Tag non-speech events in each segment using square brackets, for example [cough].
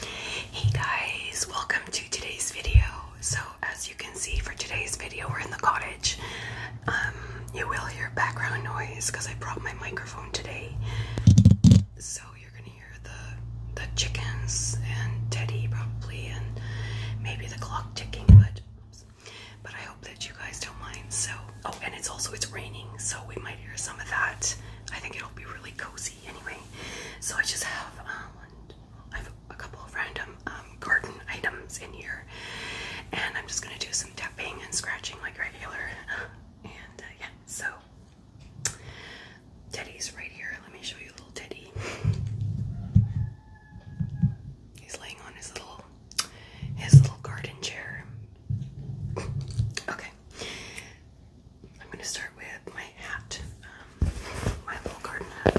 Hey guys, welcome to today's video. So as you can see for today's video, we're in the cottage. Um, you will hear background noise because I brought my microphone today. So you're gonna hear the the chickens and Teddy probably and maybe the clock ticking, but oops. but I hope that you guys don't mind. So oh and it's also it's raining, so we might hear some of that. I think it'll be really cozy anyway. So I just have um, a couple of random um, garden items in here, and I'm just gonna do some tapping and scratching like regular. And uh, yeah, so Teddy's right here. Let me show you a little Teddy. He's laying on his little his little garden chair. Okay. I'm going to start with my hat, um, my little garden hat.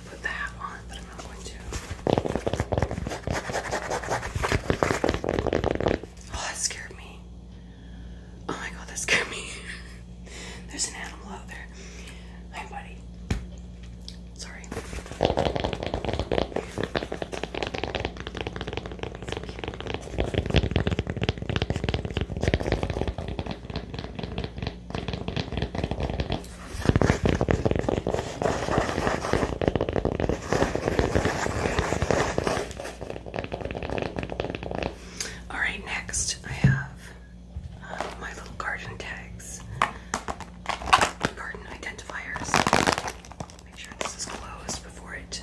Oh, that scared me. Oh my god, that scared me. [laughs] There's an animal out there. Hi, buddy. Sorry. All right, next I have uh, my little garden tags, garden identifiers. Make sure this is closed before it.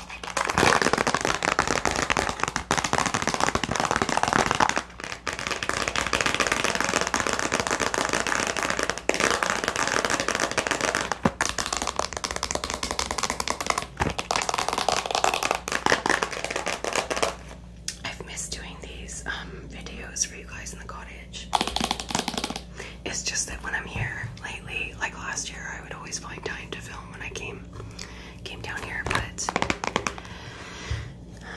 I've missed doing these um, videos for you guys in the cottage. It's just that when I'm here lately, like last year, I would always find time to film when I came came down here, but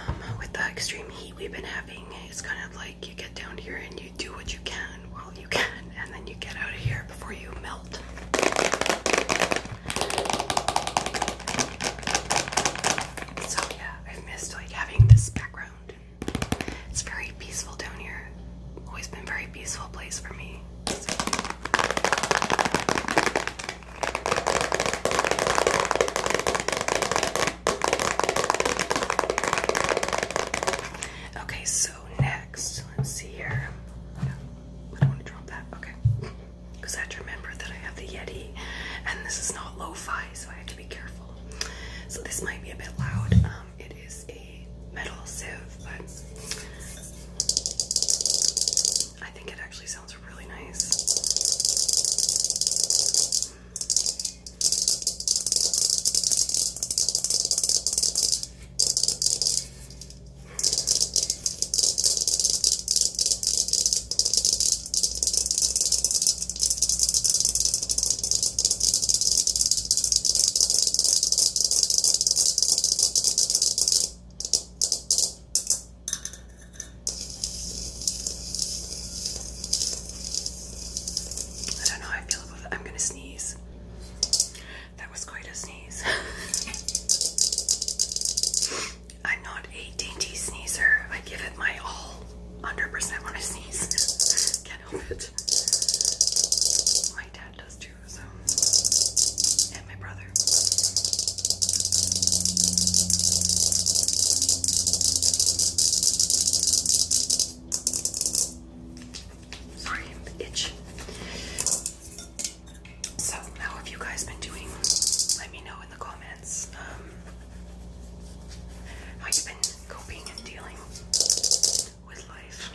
um, with the extreme heat we've been having, it's kind of like you get down here and you do what you can while you can, and then you get out of here before you melt. So yeah, I've missed like having this background. It's very peaceful down here. Always been very peaceful place for me. Okay, so next, let's see here. I don't want to drop that. Okay. Because I had to remember that I have the Yeti and this is not lo fi, so I have to be careful. So this might be a bit loud. Um, it is a metal sieve, but I think it actually sounds really nice. I don't know I am gonna sneeze. That was quite a sneeze. [laughs] I'm not a dainty sneezer. I give it my all 100% when I sneeze. Can't [laughs] help it. My and my brother. Sorry, itch. So, how have you guys been doing? Let me know in the comments um, how you been coping and dealing with life.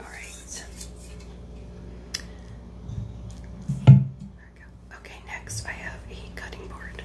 All right. There we go. Okay, next I have a cutting board.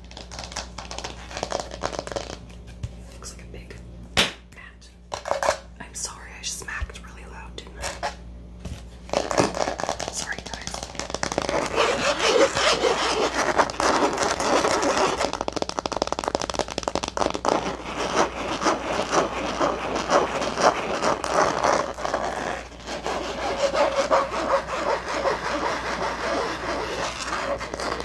Looks like a big mat. I'm sorry, I smacked really loud, didn't I? Sorry, guys.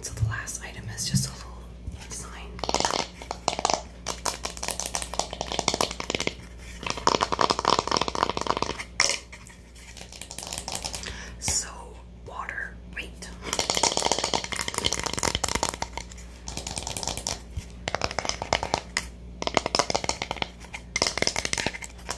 so the last item is just a little sign. So water, wait.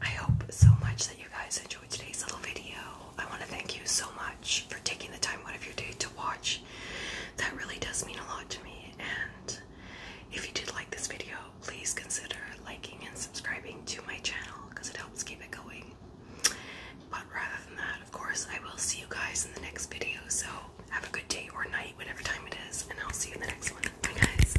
I hope so much that you guys enjoyed today's little video. I want to thank you so much for taking the time out of your day to watch. That really does mean a lot to me. And if you did like this video, please consider liking and subscribing to my channel because it helps keep it going. But rather than that, of course, I will see you guys in the next video. So have a good day or night, whatever time it is, and I'll see you in the next one. Bye, guys.